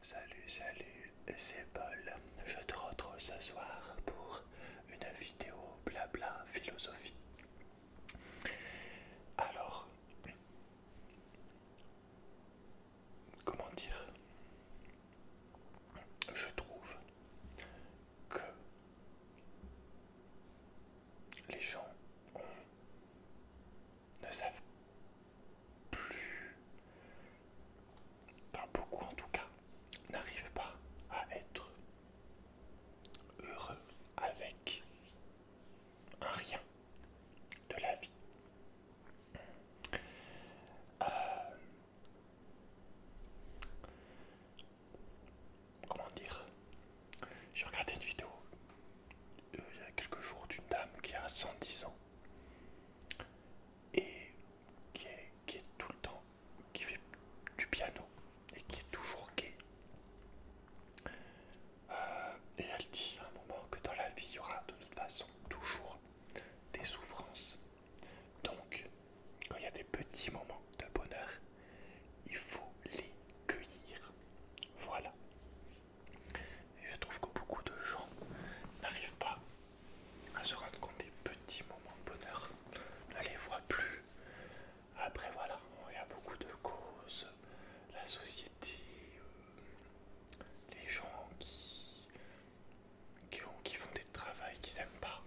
Salut, salut, c'est Paul. Je te retrouve ce soir pour une vidéo blabla philosophie. Alors, comment dire Je trouve que les gens ne savent plus, pas beaucoup en tout cas, n'arrivent pas à être heureux avec un rien de la vie. Euh, comment dire J'ai regardé une vidéo euh, il y a quelques jours d'une dame qui a 110 ans et qui est, tout le temps, qui fait du piano et qui est toujours gay. Euh, et elle dit à un moment que dans la vie il y aura de toute façon toujours des souffrances. Donc quand il y a des petits moments de bonheur, il faut les cueillir. Voilà. Et je trouve que beaucoup de gens n'arrivent pas à se rendre compte des petits moments de bonheur, ne les voit plus. Après, voilà, il y a beaucoup de causes, la société, euh, les gens qui, font des travails qu'ils n'aiment pas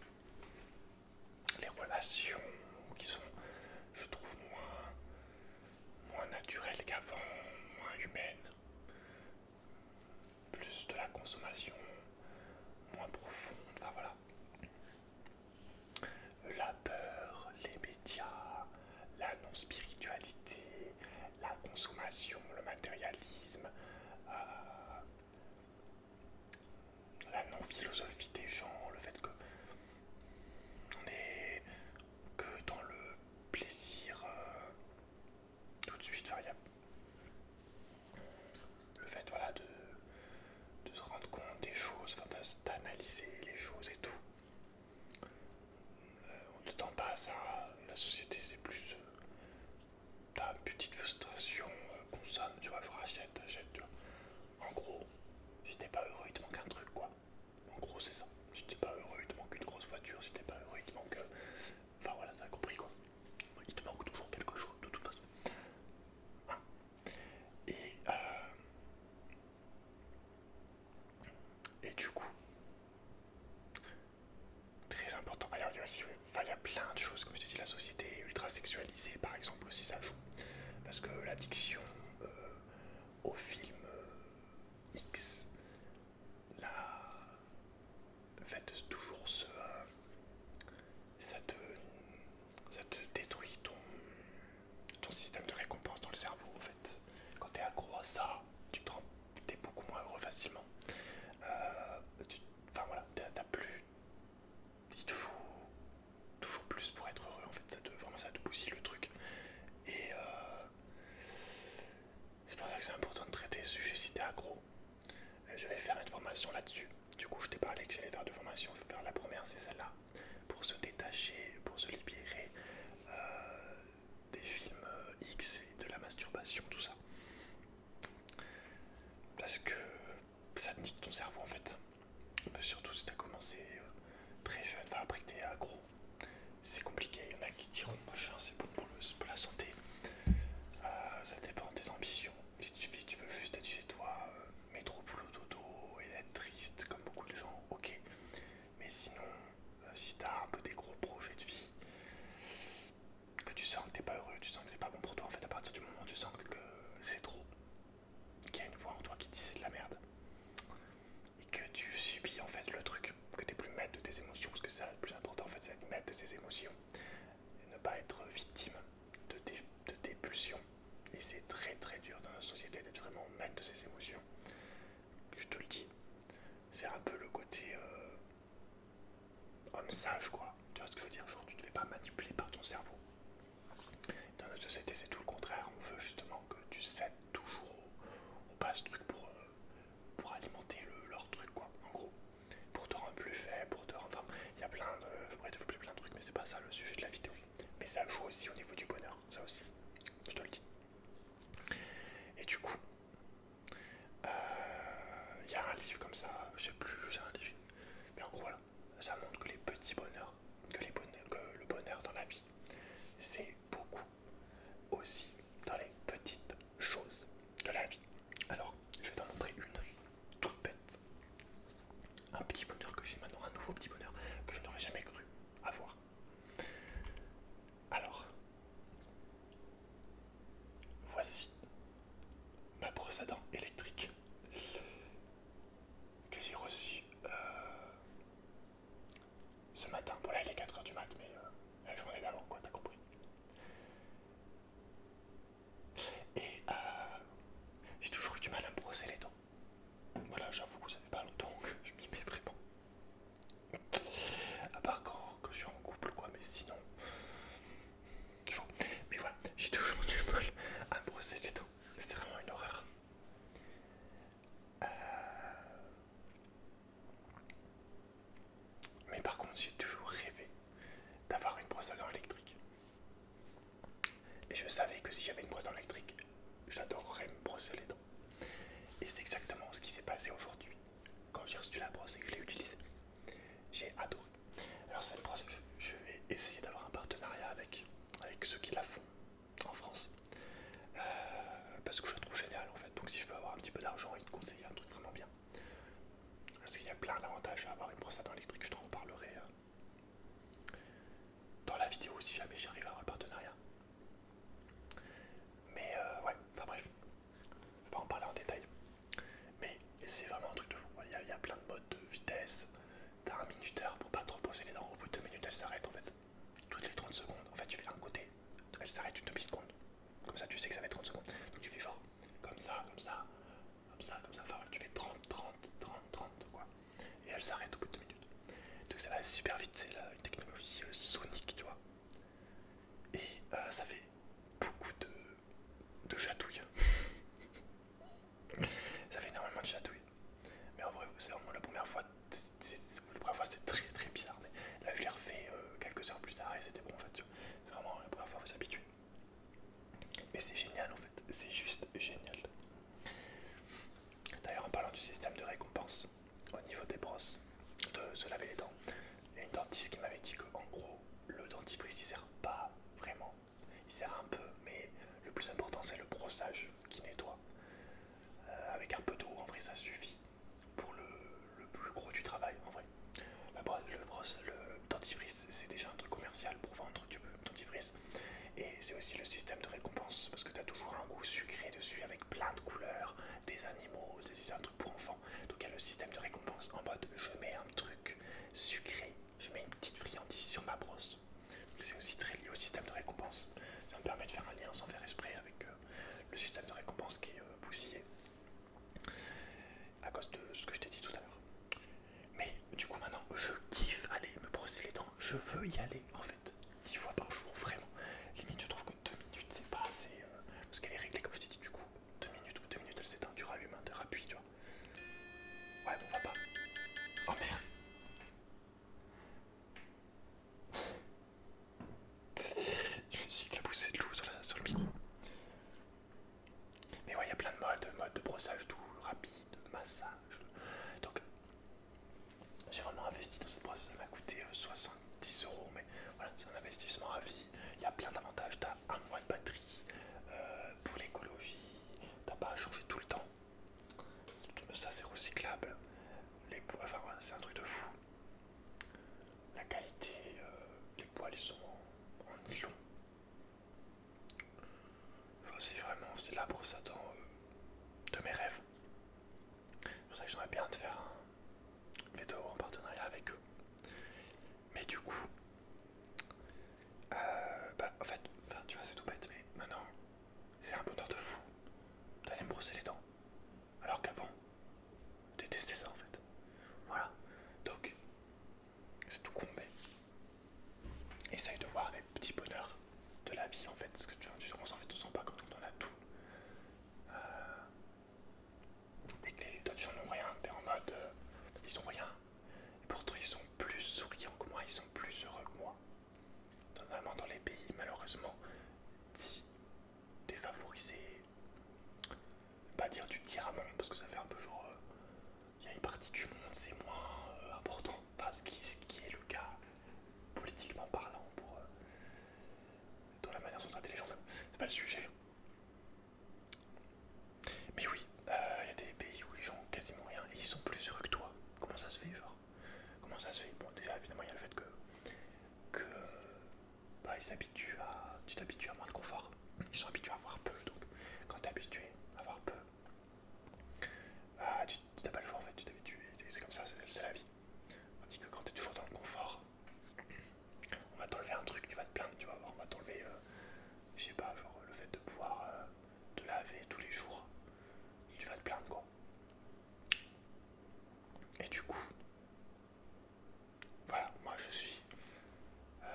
les relations qui sont, je trouve, moins, moins naturelles qu'avant, moins humaines, plus de la consommation, moins profonde, enfin voilà. La peur, les médias, la non-spiritualité, la consommation, le matérialisme, euh, la non-philosophie des gens, le fait que on est que dans le plaisir euh, tout de suite, enfin, le fait voilà, de, de se rendre compte des choses, d'analyser les choses et tout. Euh, on ne tend pas à ça, la société c'est plus. d'une euh, petite frustration, consomme, tu vois, je rachète, achète, tu vois. En gros, si t'es pas heureux, il te manque un truc, quoi. En gros, c'est ça. Si t'es pas heureux, il te manque une grosse voiture. Si t'es pas heureux, il te manque. Euh, enfin voilà, t'as compris quoi. Il te manque toujours quelque chose, de toute façon. Hein. et, euh, et du coup, très important. Alors, il y a aussi, enfin, il y a plein de choses, comme je t'ai dit, la société ultra sexualisée, par exemple, aussi ça joue. Parce que l'addiction euh, au film euh, X, là, fait toujours ce... Euh, ça, te, détruit ton, système de récompense dans le cerveau, en fait. Quand t'es accro à ça, tu te beaucoup moins heureux facilement. Enfin voilà, t'as plus il te faut toujours plus pour être heureux en fait, ça te, vraiment le truc. Et euh, c'est pour ça que c'est important de traiter ce sujet si t'es accro. Euh, je vais faire une formation là-dessus. Du coup, je t'ai parlé que j'allais faire deux formations. Je vais faire la première, c'est celle-là, pour se détacher, pour se libérer euh, des films X et de la masturbation, tout ça. Parce que ça te nique ton cerveau en fait. Euh, surtout si t'as commencé euh, très jeune, enfin après que t'es c'est compliqué. Il y en a qui diront machin, c'est bon pour, la santé. Euh, ça dépend de tes ambitions. Si tu, veux juste être chez toi, mettre trop boulot, dodo et être triste comme beaucoup de gens, ok. Mais sinon, si t'as un peu des gros projets de vie, que tu sens que t'es pas heureux, tu sens que c'est pas bon pour toi, en fait, à partir du moment où tu sens que c'est trop, qu'il y a une voix en toi qui dit c'est de la merde et que tu subis en fait le truc, que tu es plus maître de tes émotions, parce que ça, le plus important en fait, c'est être maître de ses émotions et ne pas être victime de tes, pulsions. Et c'est très très dur dans notre société d'être vraiment maître de ses émotions. Je te le dis, c'est un peu le côté euh, homme sage quoi. Tu vois ce que je veux dire Genre, tu ne te fais pas manipuler par ton cerveau. Dans notre société, c'est tout le contraire. On veut justement que tu cèdes toujours au, basse truc pour, euh, pour alimenter leur truc, quoi, en gros. Pour te rendre plus faible, pour te rendre. Enfin, il y a plein de. Je pourrais développer plein de trucs, mais c'est pas ça le sujet de la vidéo. Mais ça joue aussi au niveau du bonheur, ça aussi. Je te le dis. Et du coup, euh, il y a un livre comme ça, je sais plus, c'est un livre. Mais en gros, voilà ça montre que les petits bonheurs, que, les le bonheur dans la vie, c'est beaucoup aussi dans les petites choses de la vie. Alors, je vais t'en montrer une toute bête. Un petit bonheur que j'ai maintenant, un nouveau petit bonheur que je n'aurais jamais cru avoir. Alors, voici ma brosse à dents électrique que j'ai reçu euh, ce matin. Bon, là, il est 4h du mat, mais euh, la journée d'avant, quoi, t'as compris. Et euh, j'ai toujours eu du mal à brosser les dents. Voilà, j'avoue, ça fait pas longtemps que je m'y mets vraiment. À part quand, je suis en couple, quoi, mais sinon. Toujours. Mais voilà, j'ai toujours du mal à brosser les dents c'était vraiment une horreur. Euh, mais par contre, j'ai toujours rêvé d'avoir une brosse à dents électrique. Et je savais que si j'avais une brosse à dents électrique, j'adorerais me brosser les dents. Et c'est exactement ce qui s'est passé aujourd'hui. Quand j'ai reçu la brosse et que je l'ai utilisée, j'ai adoré. Alors c'est brosse, je, je vais essayer d'avoir un partenariat avec, avec ceux qui la font en France. Euh, parce que je la trouve génial, en fait. Donc si je peux avoir un petit peu d'argent et te conseiller un truc vraiment bien. Parce qu'il y a plein d'avantages à avoir une brosse à dents électrique, je t'en reparlerai euh, dans la vidéo si jamais j'arrive à avoir un partenariat. Mais euh, ouais, enfin bref, je vais pas en parler en détail. Mais c'est vraiment un truc de fou. il y a plein de modes de vitesse, T'as un minuteur pour pas trop poser les dents. Au bout de deux minutes, elle s'arrête en fait. Toutes les 30 secondes, en fait, tu fais un côté, elle s'arrête une demi-seconde. Comme ça, tu sais que ça fait 30 secondes. Donc tu fais genre comme ça, comme ça, comme ça, comme ça. Enfin, tu fais 30, 30, 30, 30, quoi. Et elle s'arrête au bout de deux minutes. Donc ça va super vite. C'est une technologie euh, sonique, tu vois. Et euh, ça fait beaucoup de, de chatouilles. Ça fait énormément de chatouilles. Mais en vrai, c'est vraiment la première fois. c'est très très bizarre. Mais là, je l'ai refait euh, quelques heures plus tard et c'était bon en fait. C'est vraiment la première fois, vous s'habitue. Mais c'est génial en fait. C'est juste génial. D'ailleurs, en parlant du système de récompense au niveau des brosses, de se laver les dents, il y a une dentiste qui m'avait dit que, en gros, le dentifrice il sert pas vraiment il sert un peu, mais le plus important c'est le brossage qui nettoie. Euh, avec un peu d'eau, en vrai ça suffit pour le, plus gros du travail, en vrai. le, le dentifrice, c'est déjà un truc commercial pour vendre du dentifrice. Et c'est aussi le système de récompense, parce que tu as toujours un goût sucré dessus avec plein de couleurs, des animaux, c'est un truc pour enfants. Donc il y a le système de récompense en mode je mets un truc sucré je mets une petite friandise sur ma brosse. C'est aussi très lié au système de récompense. Ça me permet de faire un lien sans faire esprit avec euh, le système de récompense qui est euh, à cause de ce que je t'ai dit tout à l'heure. Mais du coup maintenant, je kiffe aller me brosser les dents. Je veux y aller en fait, 10 fois par jour, vraiment. Limite, je trouve que 2 minutes, c'est pas assez... Euh, parce qu'elle est réglée, comme je t'ai dit, du coup, 2 minutes ou 2 minutes, elle s'éteint, tu rallumes, 8 tu vois. tu Ouais, bon, va pas. Oh merde. Je me suis poussé de l'eau sur, le micro. Mais ouais, il y a plein de modes, Mode de brossage doux, rapide, massage. Donc, j'ai vraiment investi dans cette brosse. Ça m'a coûté 70 euh, euros, mais voilà, c'est un investissement à vie. Il y a plein d'avantages. T'as un mois de batterie euh, pour l'écologie. T'as pas à changer tout le temps. Ça c'est recyclable. Les poils, c'est un truc de fou. La qualité, euh, les poils ils sont en, nylon. c'est vraiment, c'est la brosse à dents de mes rêves. C'est pour ça que j'aimerais bien de faire un veto en partenariat avec eux. Mais du coup, euh, bah, en fait, enfin, tu vois, c'est tout bête, mais maintenant, c'est un bonheur de fou d'aller me brosser les dents. Alors qu'avant, je détestais ça en fait. Voilà. Donc, c'est tout mais Essaye de voir les petits bonheurs de la vie en fait. Parce que tu vois, on s'en fait tout pas quand on en a tout. Euh, et que les autres gens n'ont rien, t'es en mode. Euh, ils ont rien, et pourtant, ils sont plus souriants que moi, ils sont plus heureux que moi. Normalement, dans les pays, malheureusement, dits défavorisés. Pas dire du monde, parce que ça fait un peu genre. Euh, il y a une partie du monde, c'est moins euh, important. Enfin, ce qui, est le cas politiquement parlant, pour, euh, dans la manière dont sont intelligents, c'est pas le sujet. Mais oui, euh, il y a des pays où les gens ont quasiment rien et ils sont plus heureux que toi. Comment ça se fait, genre Comment ça se fait Bon, déjà, évidemment, il y a le fait que. que. Bah, ils s'habituent à. Tu t'habitues à moins de confort. Ils sont habitués à avoir peu, donc quand t'es habitué à avoir peu. Ah, tu t'as pas le choix en fait, tu t'habitues, c'est comme ça, c'est la vie. dit que quand t'es toujours dans le confort, on va t'enlever un truc, tu vas te plaindre, tu vas voir, on va t'enlever, euh, je sais pas, genre le fait de pouvoir de laver tous les jours, il va te plaindre quoi. Et du coup, voilà, moi je suis. Euh,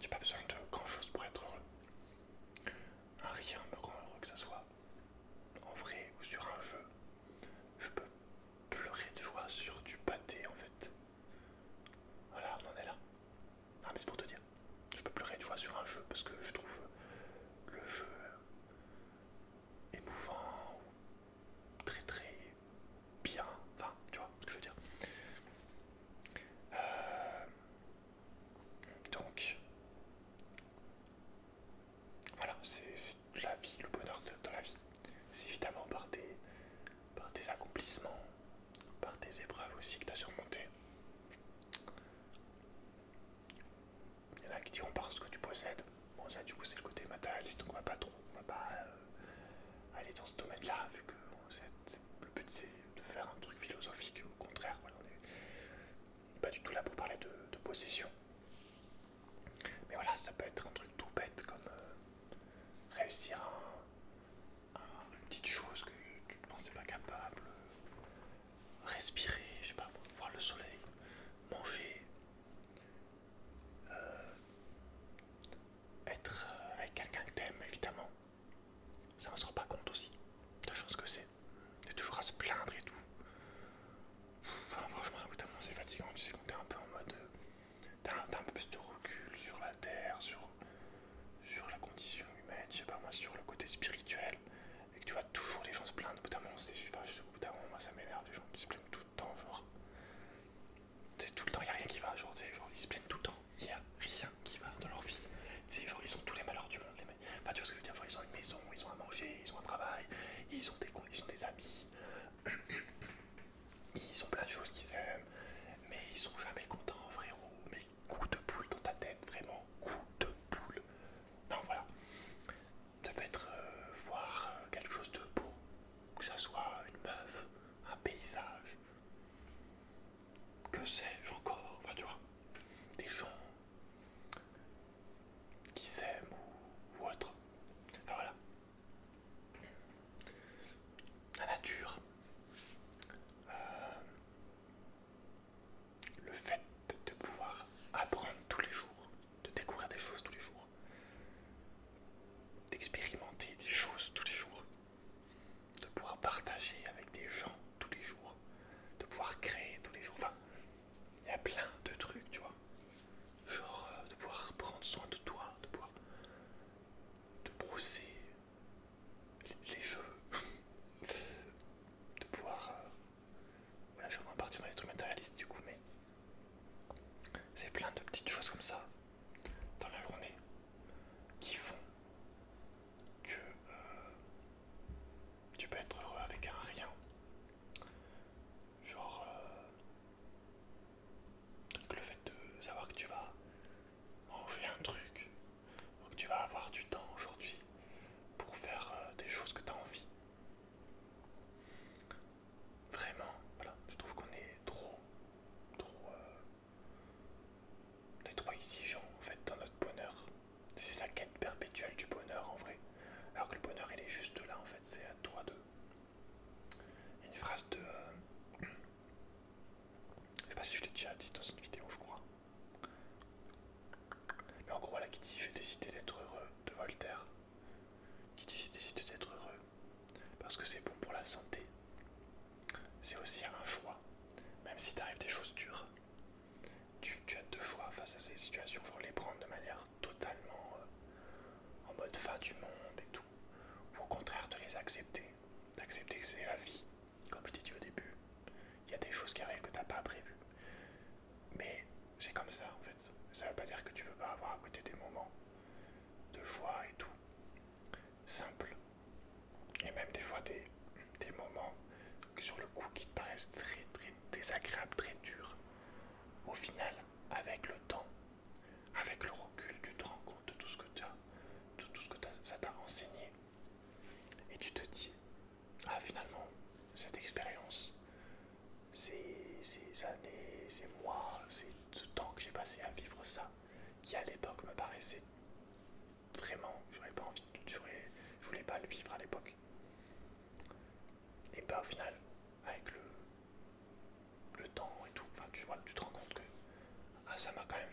j'ai pas besoin de grand chose pour être heureux. rien me rend heureux que ça soit en vrai ou sur un jeu. Je peux pleurer de joie sur du pâté en fait. Voilà, on en est là. Non mais c'est pour te dire, je peux pleurer de joie sur un jeu parce que je trouve le jeu émouvant ou très très bien. Enfin, tu vois ce que je veux dire. Euh, donc voilà, c'est la vie, le bonheur dans la vie. C'est évidemment par tes, par tes accomplissements, par tes épreuves aussi que tu as surmonté. Il y en a qui diront ce que tu possèdes. Bon, ça, du coup, c'est le côté matérialiste, donc on va pas trop, on va pas euh, aller dans ce domaine-là, vu que le but c'est de faire un truc philosophique. Au contraire, voilà, on n'est pas du tout là pour parler de, possession. Mais voilà, ça peut être un truc tout bête comme euh, réussir à une petite chose que tu ne pensais pas capable, respirer, je sais pas, voir le soleil, manger, euh, être euh, avec quelqu'un que t'aimes évidemment. Ça ne se rend pas compte aussi la chose que c'est. T'es toujours à se plaindre et tout. franchement, c'est fatigant. Tu sais, quand es un peu en mode. Euh, t'as un peu plus de recul sur la terre, sur sur la condition humaine, je sais pas moi, sur le côté spirituel, et que tu vois toujours les gens se plaindre, au bout d'un moment, c'est, enfin, moi ça m'énerve, les gens qui se plaignent tout le temps, genre, c'est tout le temps, il a rien qui va, genre, genre, ils se plaignent tout le temps, il a rien qui va dans leur vie, sais genre, ils ont tous les malheurs du monde, les mecs, enfin, tu vois ce que je veux dire, genre, ils ont une maison, ils ont à manger, ils ont un travail, ils ont des, conditions des amis, ils ont plein de choses qu'ils aiment, mais ils sont jamais contents, frérot, coup de poule dans ta tête, vraiment coup de poule. Non, voilà. Ça peut être euh, voir euh, quelque chose de beau, que ça soit une meuf, un paysage, que sais-je encore, enfin tu vois, des gens qui s'aiment ou, autre. voilà. La nature. Euh, le fait de pouvoir apprendre tous les jours, de découvrir des choses tous les jours, d'expérimenter des choses tous les jours, de pouvoir partager avec des gens tous les jours, de pouvoir créer tous les jours. Enfin, il y a plein de trucs, tu vois. Genre euh, de pouvoir prendre soin de toi, de pouvoir te brosser, les jeux, de pouvoir. Euh, voilà, je suis en dans les trucs matérialistes du coup, mais c'est plein de petites choses comme ça dans la journée qui font que euh, tu peux être heureux avec un rien. Genre euh, le fait de savoir que tu vas manger un truc donc tu vas avoir du temps aujourd'hui pour faire euh, des choses que tu as envie. Vraiment, voilà, je trouve qu'on est trop, trop, euh, trop exigeant en fait dans notre bonheur. C'est la quête perpétuelle du bonheur en vrai. Alors que le bonheur il est juste là en fait, c'est à toi de. Une phrase de. Euh, je sais pas si je l'ai déjà dit dans une vidéo, je crois. Mais en gros, là, qui dit j'ai décidé d'être heureux de Voltaire. Qui dit j'ai décidé d'être heureux parce que c'est bon pour la santé. C'est aussi un choix. Même si t'arrives des choses dures, tu, as deux choix face à ces situations. Genre les prendre de manière totalement euh, en mode fin du monde et tout. Ou au contraire, de les accepter. D'accepter que c'est la vie comme je t'ai dit au début, il y a des choses qui arrivent que tu n'as pas prévu. Mais c'est comme ça en fait. Ça ne veut pas dire que tu ne veux pas avoir à côté des moments de joie et tout. Simple. Et même des fois des, moments sur le coup qui te paraissent très très désagréables, très durs. Au final, avec le temps, avec le recul, tu te rends compte de tout ce que tu de tout ce que ça t'a enseigné, et tu te dis, ah finalement, cette expérience, ces, années, ces mois, c'est temps que j'ai passé à vivre ça, qui à l'époque me paraissait vraiment, j'aurais pas envie, je voulais pas le vivre à l'époque. Et bah au final, avec le, temps et tout, tu vois, tu te rends compte que ah, ça m'a quand même,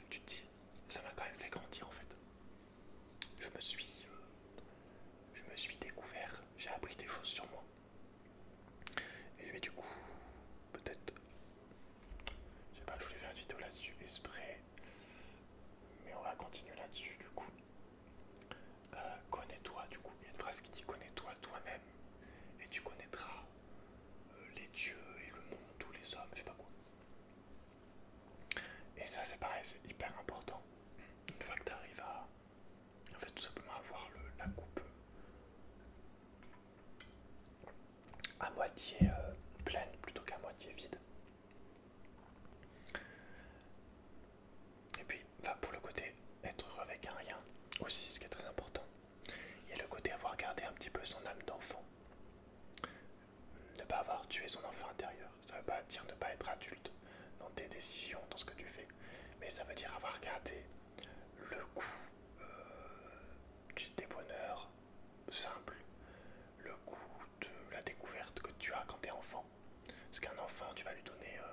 ça m'a quand même fait grandir en fait je me suis, euh, je me suis découvert, j'ai appris des choses sur moi. Et je vais du coup, peut-être, je sais pas, je voulais faire une vidéo là-dessus exprès, mais on va continuer là-dessus du coup. Euh, connais-toi du coup, il y a une phrase qui dit connais-toi toi-même et tu connaîtras euh, les dieux et le monde, tous les hommes, je sais pas quoi. Et ça c'est pareil, c'est hyper important. Une fois que tu arrives à en fait, tout simplement avoir la coupe euh, à moitié euh, pleine plutôt qu'à moitié vide. Et puis va pour le côté être avec un rien aussi ce qui est très important. Et le côté avoir gardé un petit peu son âme d'enfant ne pas avoir tué son enfant intérieur. Ça ne veut pas dire ne pas être adulte dans tes décisions, dans ce que tu fais, mais ça veut dire avoir gardé le goût euh, du bonheur simple, le goût de la découverte que tu as quand tu es enfant. Parce qu'un enfant, tu vas lui donner. Euh,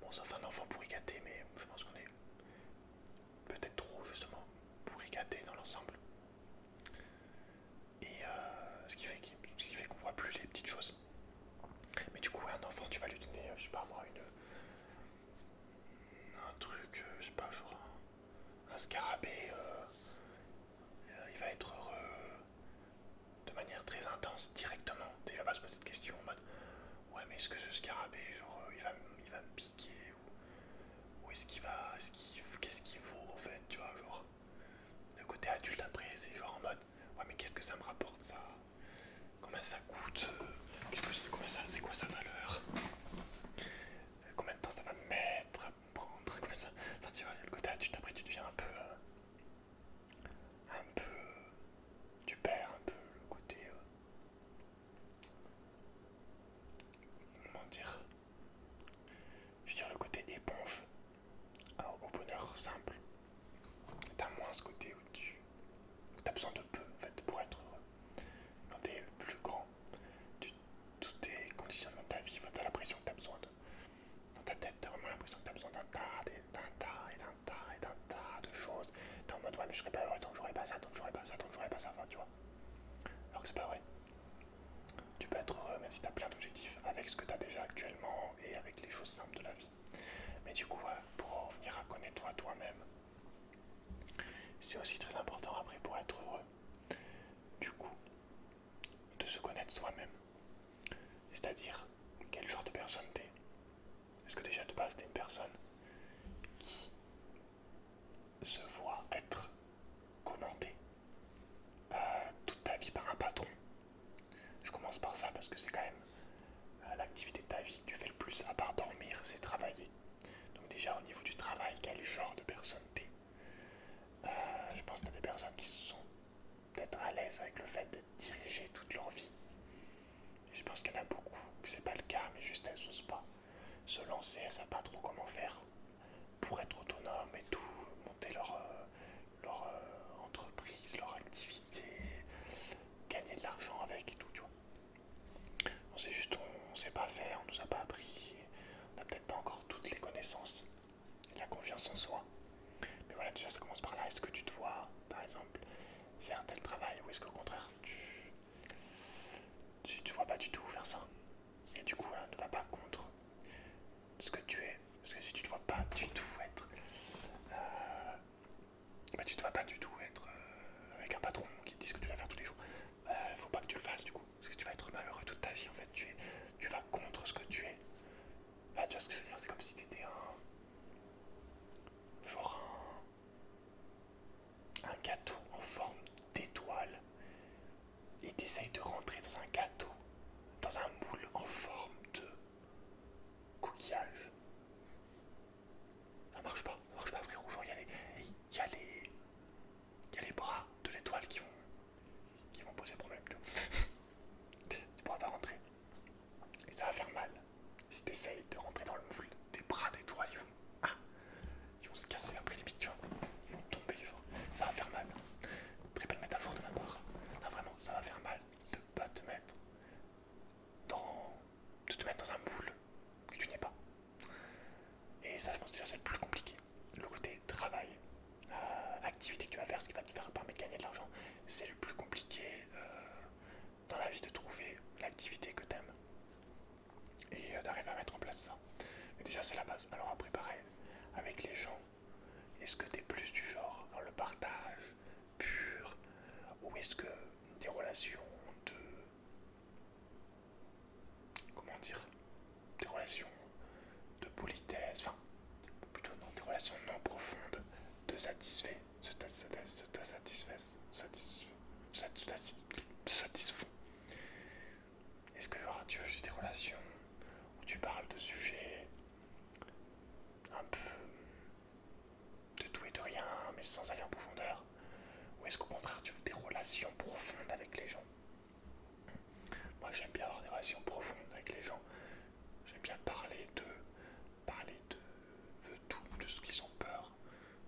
bon, sauf un enfant pour y mais je pense qu'on est peut-être trop justement pour y dans l'ensemble. Et euh, ce qui fait qu'on voit plus les petites choses. Mais du coup, un enfant, tu vas lui donner, je sais pas moi, une, un truc, euh, je sais pas, genre un, scarabée, euh, il va être heureux de manière très intense directement. Il va pas se poser de questions en mode Ouais, mais est-ce que ce scarabée, genre, il va, il va me piquer Ou, est-ce qu'il va. Qu'est-ce qu'il vaut en fait Tu vois, genre. Le côté adulte après, c'est genre en mode ouais mais qu'est-ce que ça me rapporte ça Combien ça coûte c'est ça C'est quoi sa valeur Combien de temps ça va me mettre à prendre ça enfin, tu vois, le côté adulte après tu deviens un peu euh, un peu euh, tu perds un peu le côté euh, comment dire je veux le côté éponge au bonheur simple. T'as moins ce côté où tu as besoin de peu en fait, pour être heureux. Quand t'es plus grand, tu, est tes conditions de ta vie, t'as l'impression que t'as besoin de. Dans ta tête, t'as vraiment l'impression que t'as besoin d'un tas, d'un tas, et d'un tas, et d'un tas de choses. T'es en mode ouais, mais je serais pas heureux tant que j'aurais pas ça, tant que j'aurais pas ça, tant que j'aurais pas ça, enfin, tu vois. Alors que c'est pas vrai. Tu peux être heureux même si tu as plein d'objectifs avec ce que tu as déjà actuellement et avec les choses simples de la vie. Mais du coup, pour en venir à connaître toi toi-même, c'est aussi très important après pour être heureux, du coup, de se connaître soi-même. C'est-à-dire quel genre de personne t'es. Est-ce que déjà de base t'es une personne qui se voit être commentée euh, toute ta vie par un patron. Je commence par ça parce que c'est quand même euh, l'activité de ta vie que tu fais le plus, à part dormir, c'est travailler. Donc déjà au niveau du travail, quel genre de personne t'es euh, Je pense que tu des personnes qui sont peut-être à l'aise avec le fait de diriger toute leur vie. je pense qu'il y en a beaucoup que c'est pas le cas, mais juste elles n'osent pas se lancer, elles savent pas trop comment faire pour être autonome et tout, monter leur, euh, euh, entreprise, leur activité, gagner de l'argent avec et tout, tu vois. On sait juste, on, sait pas faire, on nous a pas appris, on n'a peut-être pas encore toutes les connaissances, la confiance en soi. Mais voilà, déjà ça commence par là. Est-ce que tu te vois, par exemple, faire tel travail ou est-ce qu'au contraire, tu, tu vois pas du tout faire ça et du coup ne va pas contre ce que tu es parce que si tu ne vois pas du tout être euh, bah, tu te vas pas du tout être euh, avec un patron qui te dit ce que tu vas faire tous les jours ne bah, faut pas que tu le fasses du coup parce que tu vas être malheureux toute ta vie en fait tu, tu vas contre ce que tu es bah, tu vois ce que je veux dire c'est comme si tu étais un genre un un gâteau en forme d'étoile et t'essayes de rentrer dans un gâteau, dans un moule en forme de coquillage. Ça marche pas, ça marche pas frérot, il y les. Il y a les. les bras de l'étoile qui vont. qui vont poser problème, tu vois. tu pourras pas rentrer. Et ça va faire mal. Si t'essayes de rentrer dans le moule, tes bras d'étoile, ils vont. Ah, ils vont se casser après limite, tu vois. Ils vont tomber, ça va faire mal. Très belle métaphore de ma part. vraiment, ça va faire mal de pas te mettre dans. de te mettre dans un boule que tu n'es pas. Et ça, je pense que c'est le plus compliqué. Le côté travail, euh, activité que tu vas faire, ce qui va te faire permettre de gagner de l'argent, c'est le plus compliqué euh, dans la vie de trouver l'activité que tu aimes et euh, d'arriver à mettre en place ça. Mais déjà, c'est la base. Alors après, pareil, avec les gens, est-ce que tu es plus du genre dans le partage pur ou est-ce que des relations de... Comment dire Des relations de politesse, enfin, plutôt non, des relations non profondes, de satisfait, se satisfait, satisfait, satisfait, est-ce que tu veux juste des relations où tu parles de sujets un peu de tout et de rien, mais sans aller en profondeur Ou est-ce qu'au contraire, tu veux des relations profondes avec les gens Moi, j'aime bien avoir des relations profondes avec les gens. J'aime bien parler de parler de tout, de ce qu'ils ont peur,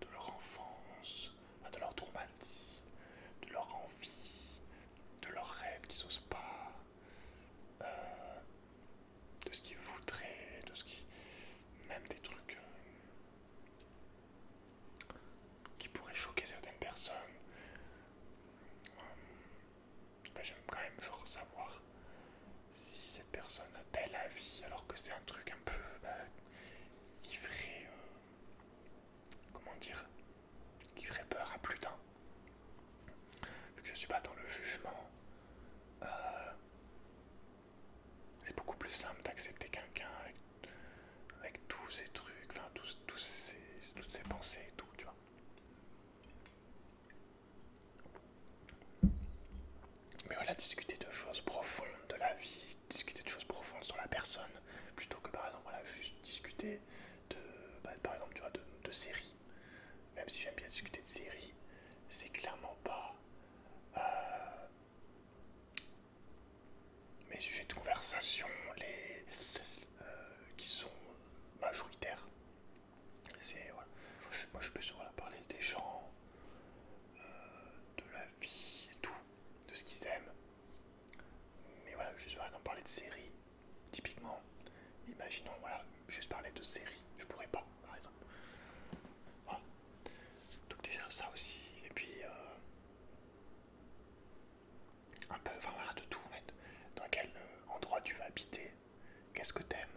de leur enfance, de leur traumatisme, de leur envie, de leurs rêves, qui n'osent pas, euh, de ce qu'ils voudraient, de ce qui. même des trucs euh, qui pourraient choquer certaines personnes. Euh, bah, j'aime quand même savoir si cette personne a tel avis, alors que c'est un truc un peu. Bah, qui comment dire qui ferait peur à plus d'un. Vu que je suis pas dans le jugement, euh, c'est beaucoup plus simple d'accepter quelqu'un avec, tous ses trucs, enfin tous, tous toutes ses pensées et tout, tu vois. Mais voilà, discuter de choses profondes de la vie, discuter de choses profondes sur la personne, plutôt que par exemple, voilà, juste discuter de, bah, par exemple, tu vois, de, séries. Même si j'aime bien discuter de séries, c'est clairement pas euh, mes sujets de conversation les, euh, qui sont majoritaires. C'est voilà. Moi, je peux souvent parler des gens, euh, de la vie et tout, de ce qu'ils aiment. Mais voilà, juste par parler de séries, typiquement, imaginons, voilà, juste parler de séries, je pourrais pas, par exemple. Voilà. Donc déjà ça aussi, et puis euh, un peu, enfin voilà, de tout en fait. Dans quel euh, endroit tu vas habiter, qu'est-ce que t'aimes,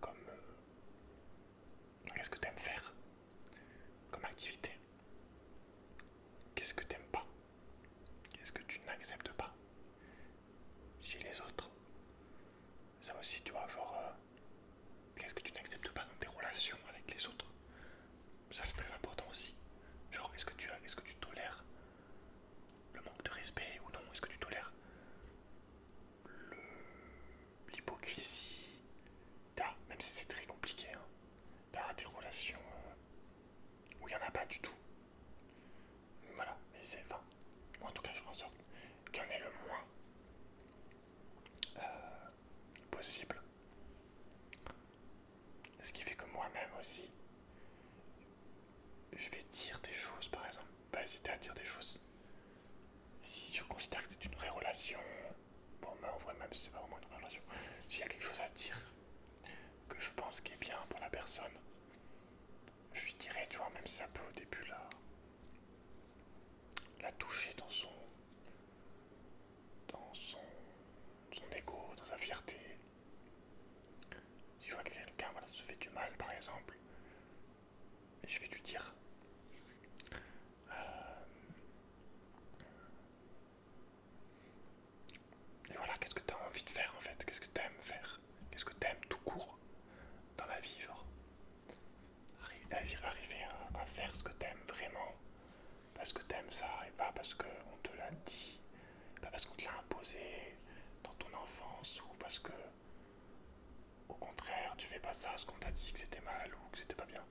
comme euh, qu'est-ce que t'aimes faire comme activité, qu'est-ce que t'aimes pas. Qu'est-ce que tu n'acceptes pas chez les autres Ça aussi, tu vois, genre, euh, qu'est-ce que tu n'acceptes pas dans tes relations avec les autres Ça, c'est très important aussi. Genre, est-ce que, tu que tu tolères le manque de respect ou non Est-ce que tu tolères l'hypocrisie Même si c'est très compliqué, hein, par bah, des relations euh, où il n'y en a pas du tout. Voilà, mais c'est enfin, en tout cas je fais en sorte qu'il y en ait le moins euh, possible. Ce qui fait que moi-même aussi, je vais dire des choses, par exemple, pas bah, hésiter à dire des choses. Si je considère que c'est une vraie relation, pour moi ben, en vrai même si c'est pas vraiment une vraie relation, s'il y a quelque chose à dire, que je pense qui est bien pour la personne, je lui dirais, tu vois, même ça peut au début là, la toucher dans son. dans son. ego, dans sa fierté. Si je vois que quelqu'un voilà, se fait du mal par exemple, je vais lui dire. Euh, et voilà, qu'est-ce que tu as envie de faire en fait Qu'est-ce que tu aimes faire Qu'est-ce que tu aimes tout court dans la vie, genre Arriver à, faire ce que tu aimes vraiment, parce que tu aimes ça, et pas parce qu'on te l'a dit, pas parce qu'on te l'a imposé dans ton enfance, ou parce que, au contraire, tu fais pas ça, ce qu'on t'a dit que c'était mal ou que c'était pas bien.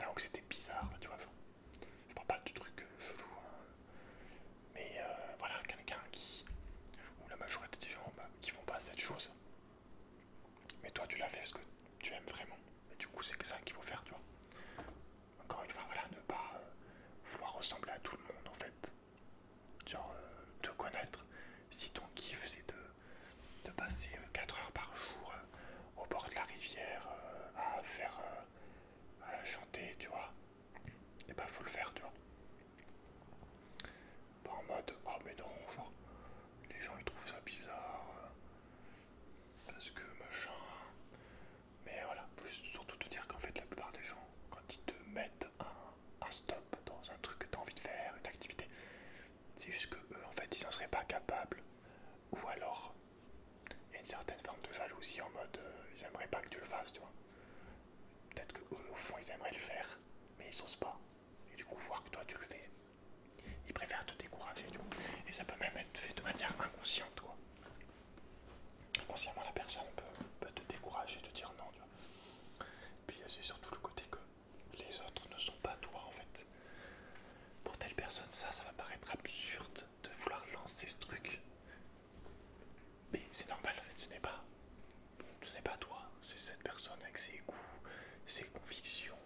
Enfin, ou que c'était bizarre, tu vois, je parle pas de trucs euh, chelous, hein. mais euh, voilà, quelqu'un qui, ou la majorité des gens bah, qui font pas cette chose, mais toi tu l'as fait parce que tu aimes vraiment, et du coup c'est que ça qu'il faut faire, tu vois. Encore une fois, voilà, ne pas euh, vouloir ressembler à tout le monde en fait. Genre, te connaître, si ton kiff c'est de, de passer 4 heures par jour au bord de la rivière à faire à euh, chanter, tu vois. Et bah, faut le faire, tu vois. Pas en mode, oh, mais non, genre, les gens ils trouvent ça bizarre. Euh, parce que machin. Mais voilà, faut juste surtout te dire qu'en fait, la plupart des gens, quand ils te mettent un, stop dans un truc que tu as envie de faire, une activité, c'est juste que en fait, ils en seraient pas capables. Ou alors, il y a une certaine forme de jalousie en mode euh, ils aimeraient pas que tu le fasses, tu vois. Peut-être au fond ils aimeraient le faire, mais ils osent pas. Et du coup, voir que toi tu le fais, ils préfèrent te décourager, tu vois. Et ça peut même être fait de manière inconsciente, quoi. Inconsciemment, la personne peut, te décourager, te dire non, tu vois. Puis euh, c'est surtout le côté que les autres ne sont pas toi en fait. Pour telle personne, ça, ça va paraître absurde de vouloir lancer ce truc. Mais c'est normal en fait, ce n'est pas, ce n'est pas toi, c'est cette personne avec ses goûts, ses convictions,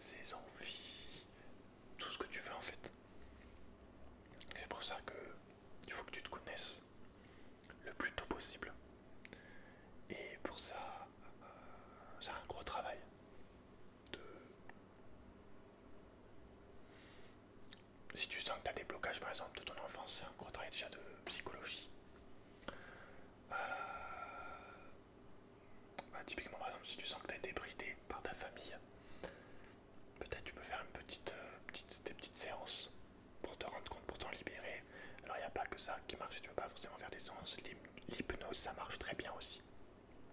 ses envies, tout ce que tu veux en fait. C'est pour ça que il faut que tu te connaisses le plus tôt possible. Et pour ça, c'est euh, un gros travail de si tu sens que tu as des blocages par exemple de ton enfance, c'est un déjà de psychologie. Euh, bah, typiquement par exemple si tu sens que tu as été bridé par ta famille, peut-être tu peux faire une euh, des petites séances pour te rendre compte, pour t'en libérer. Alors il n'y a pas que ça qui marche, tu ne veux pas forcément faire des séances, l'hypnose ça marche très bien aussi.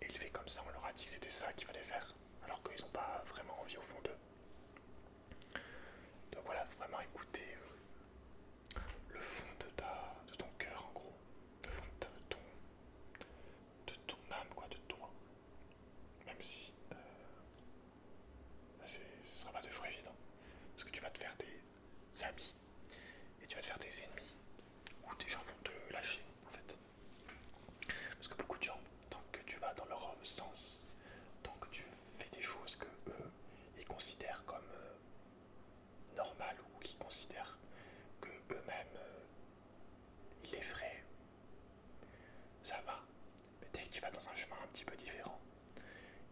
élevé comme ça, on leur a dit c'était ça qu'il fallait faire, alors qu'ils n'ont pas vraiment envie au fond d'eux. Donc voilà, vraiment écouter euh, le fond de, ta, de ton cœur en gros, le fond de ton, âme, quoi, de toi. Même si euh, bah, ce sera pas toujours évident, parce que tu vas te faire des amis et tu vas te faire des ennemis, ou des gens vont te lâcher en fait. Parce que beaucoup de gens, tant que tu vas dans leur sens, tant que tu fais des choses que eux, ils considèrent comme euh, normales ou qui considèrent que eux-mêmes, euh, ils les feraient, ça va. Mais dès que tu vas dans un chemin un petit peu différent,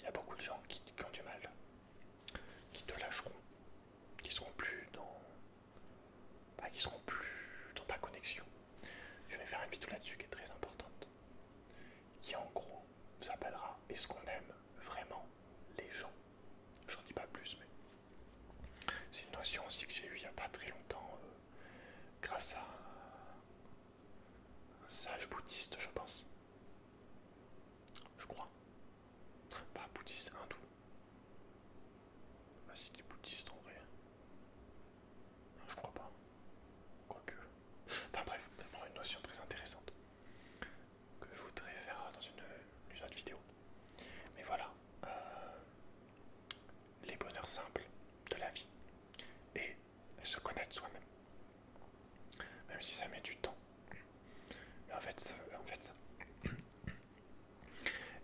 il y a beaucoup de gens qui, ont du mal, qui te lâcheront, qui seront plus dans qui bah, ils seront plus dans ta connexion. Je vais faire une vidéo là-dessus qui est très importante, qui en gros s'appellera Est-ce qu'on aime vraiment les gens J'en dis pas plus, mais c'est une notion aussi que j'ai eue il n'y a pas très longtemps euh, grâce à un sage bouddhiste, je pense. Je crois. Pas bouddhiste, hindou. Ah, c'est des bouddhistes en vrai je crois pas. Quoique. Enfin bref, c'est vraiment une notion très intéressante que je voudrais faire dans une, autre vidéo. Mais voilà. Euh, les bonheurs simples de la vie. Et se connaître soi-même. Même si ça met du temps. Mais en fait, ça, en fait, ça,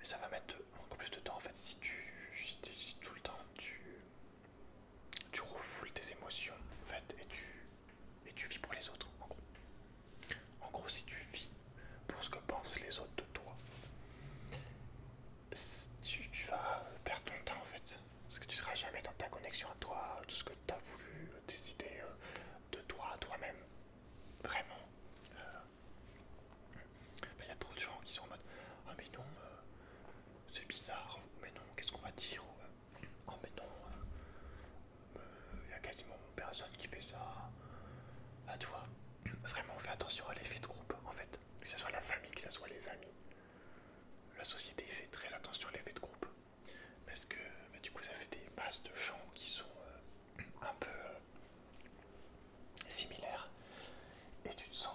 et ça va mettre encore plus de temps en fait si tu tout le temps tu tu refoules tes émotions en fait et tu vis pour les autres en gros. En gros si tu vis pour ce que pensent les autres de toi, tu, vas perdre ton temps en fait. Parce que tu seras jamais dans ta connexion à toi, tout ce que tu as voulu décider euh, de toi à toi-même. Vraiment. Euh, bah, il y a trop de gens qui sont en mode Ah, mais non, euh, c'est bizarre, mais non, qu'est-ce qu'on va dire Ah, mais non, euh, euh, il y a quasiment personne qui fait ça à toi. Vraiment, fait attention à l'effet de groupe en fait, que ce soit la famille, que ce soit les amis. La société fait très attention à l'effet de groupe parce que bah, du coup ça fait des masses de gens qui sont un peu similaire et tu te sens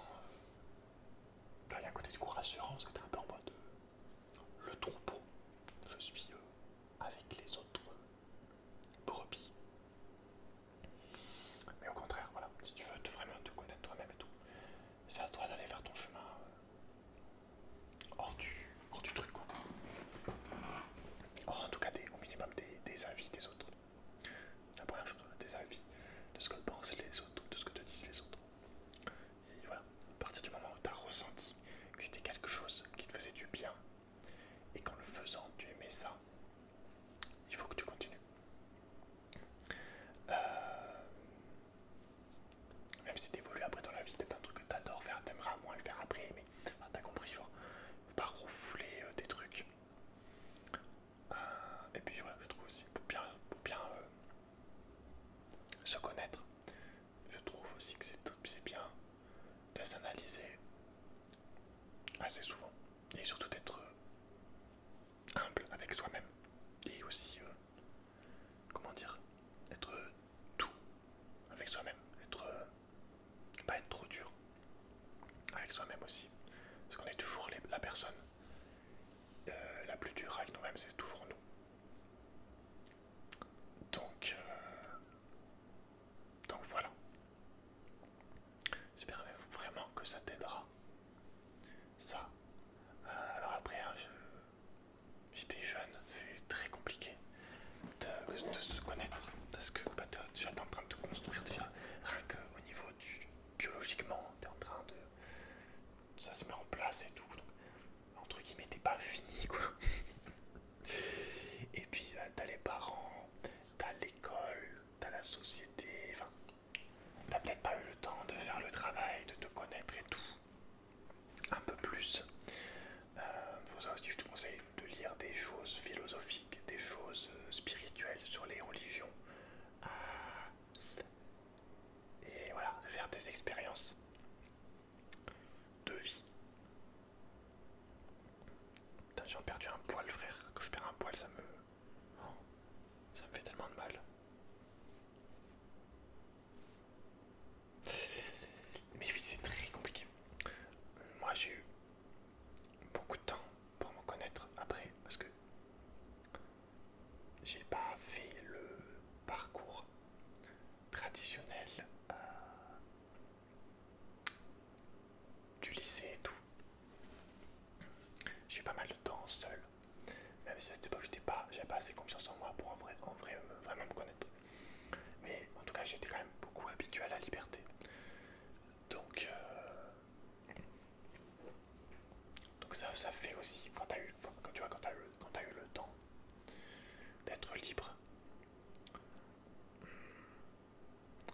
y euh, a à côté du rassurant, assurance que tu es un peu en mode euh, le troupeau je suis euh, avec les autres brebis mais au contraire voilà si tu veux vraiment te connaître toi-même et tout c'est à toi d'aller faire ton chemin hors, du, truc quoi en tout cas des, au minimum des avis des autres la première chose, tes des avis de ce que pensent les autres, de ce que te disent les autres. Et voilà, à partir du moment où tu as ressenti que c'était quelque chose qui te faisait du bien, et qu'en le faisant, tu aimais ça, il faut que tu continues. Euh, même si évolues après dans la vie, peut-être un truc que adores faire, t'aimeras moins le faire après, mais t'as compris, ne faut pas refouler des euh, trucs. Euh, et puis je trouve aussi pour bien, pour bien euh, se connaître, je trouve aussi que c'est bien de s'analyser assez souvent et surtout d'être euh, humble avec soi-même et aussi, comment dire, être tout avec soi-même, être pas être trop dur avec soi-même aussi. Parce qu'on est toujours la personne euh, la plus dure avec nous-mêmes, c'est toujours nous. Donc, euh, donc voilà. J'espère vraiment que ça t'aidera. Ça. Euh, alors après, hein, j'étais jeune, c'est très compliqué de, se connaître. Parce que bah, déjà en train de te construire déjà. Rien que euh, au niveau du, biologiquement, t'es en train de. ça se met en place et tout. entre qui t'es pas fini quoi. et puis euh, t'as les parents, t'as l'école, t'as la société, enfin, t'as peut-être pas eu le temps de faire le travail, de te connaître et tout. Un peu plus. Euh, pour ça aussi, je te conseille de lire des choses philosophiques des choses euh, spirituelles, sur les religions. Euh, et voilà, faire des expériences de vie. Putain, j'ai perdu un poil, frère. que je perds un poil, ça me. Oh, ça me fait tellement de mal. Mais oui, c'est très compliqué. Moi, j'ai eu beaucoup de temps pour me connaître après parce que j'ai pas fait le parcours traditionnel euh, du lycée et tout. J'ai pas mal de temps seul, même si à cette époque pas, j'avais pas assez confiance en moi pour en vrai, en vrai vraiment me connaître. Mais en tout cas, j'étais quand même beaucoup habitué à la liberté. Donc, euh, donc ça, fait aussi quand, as eu, quand tu quand as eu, quand as eu le temps d'être libre,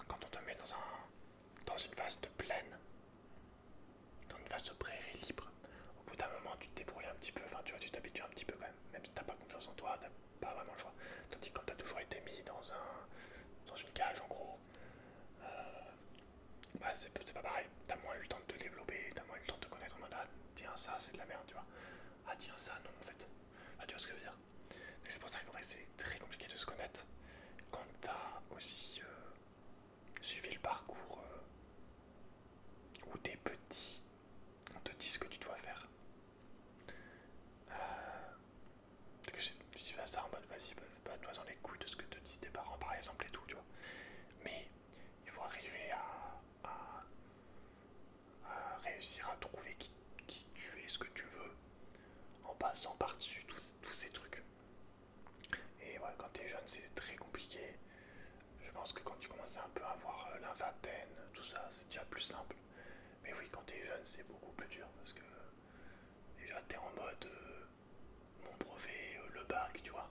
quand on te met dans, un, dans une vaste plaine, dans une vaste prairie libre, au bout d'un moment tu te débrouilles un petit peu, enfin tu vois, tu t'habitues un petit peu quand même, même si t'as pas confiance en toi, t'as pas vraiment le choix. Tandis que quand t'as toujours été mis dans un dans une cage en gros, euh, bah c'est pas pareil. T'as moins eu le temps de te développer, t'as moins eu le temps de te connaître en ah, tiens ça c'est de la merde, tu vois. Ah tiens ça non en fait. Ah tu vois ce que je veux dire. Donc c'est pour ça que c'est très compliqué de se connaître quand t'as aussi euh, suivi le parcours où t'es petit, on te dit ce que tu dois faire. Euh, que vas ça en mode vas-y, pas toi dans les couilles de ce que te disent tes parents par exemple et tout, tu vois. Mais il faut arriver à, réussir à trouver qui, tu es, ce que tu veux, en passant par-dessus tous ces trucs. Et voilà, quand t'es jeune, c'est très compliqué. Je pense que quand tu commences un peu à avoir euh, la vingtaine, tout ça, c'est déjà plus simple. Mais oui, quand t'es jeune, c'est beaucoup plus dur parce que Déjà, t'es en mode euh, mon brevet, euh, le bac, tu vois.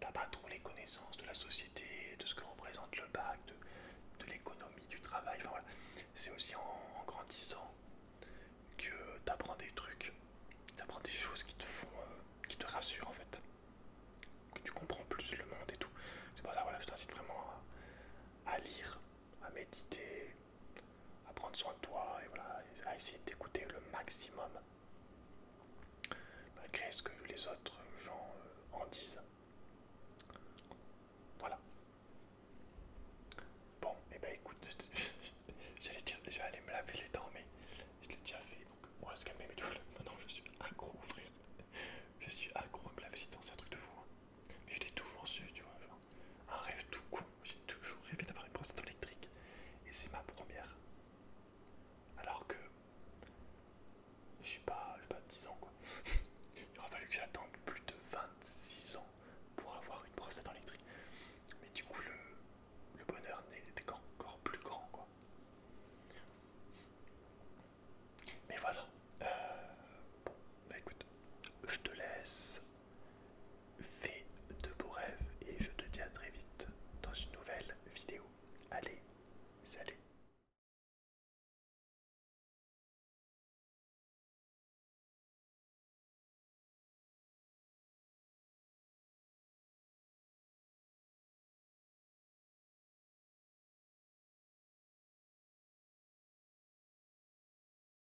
T'as pas trop les connaissances de la société, de ce que représente le bac, de, l'économie, du travail. voilà. C'est aussi en, grandissant que t'apprends des trucs, t'apprends des choses qui te font, euh, qui te rassurent en fait, que tu comprends plus le monde et tout. C'est pour ça, voilà, je t'incite vraiment à lire, à méditer, à prendre soin de toi et voilà, à essayer de t'écouter le maximum malgré ce que les autres gens euh, en disent. Voilà. Bon, et bah ben écoute, j'allais dire, je vais aller me laver les dents, mais je l'ai déjà fait, donc on va se calmer. maintenant je suis accro, frère. Je suis accro à me laver les dents, c'est un truc de fou. Hein. Mais je l'ai toujours su, tu vois un rêve tout con. J'ai toujours rêvé d'avoir une prostate électrique et c'est ma première. Alors que je suis pas, pas 10 ans quoi. Il aura fallu que j'attende plus de 26 ans pour avoir une prostate électrique. Mais du coup le, le bonheur n'était encore plus grand quoi. Mais voilà. Euh, bon, bah, écoute, je te laisse. Fais de beaux rêves et je te dis à très vite dans une nouvelle vidéo. Allez, salut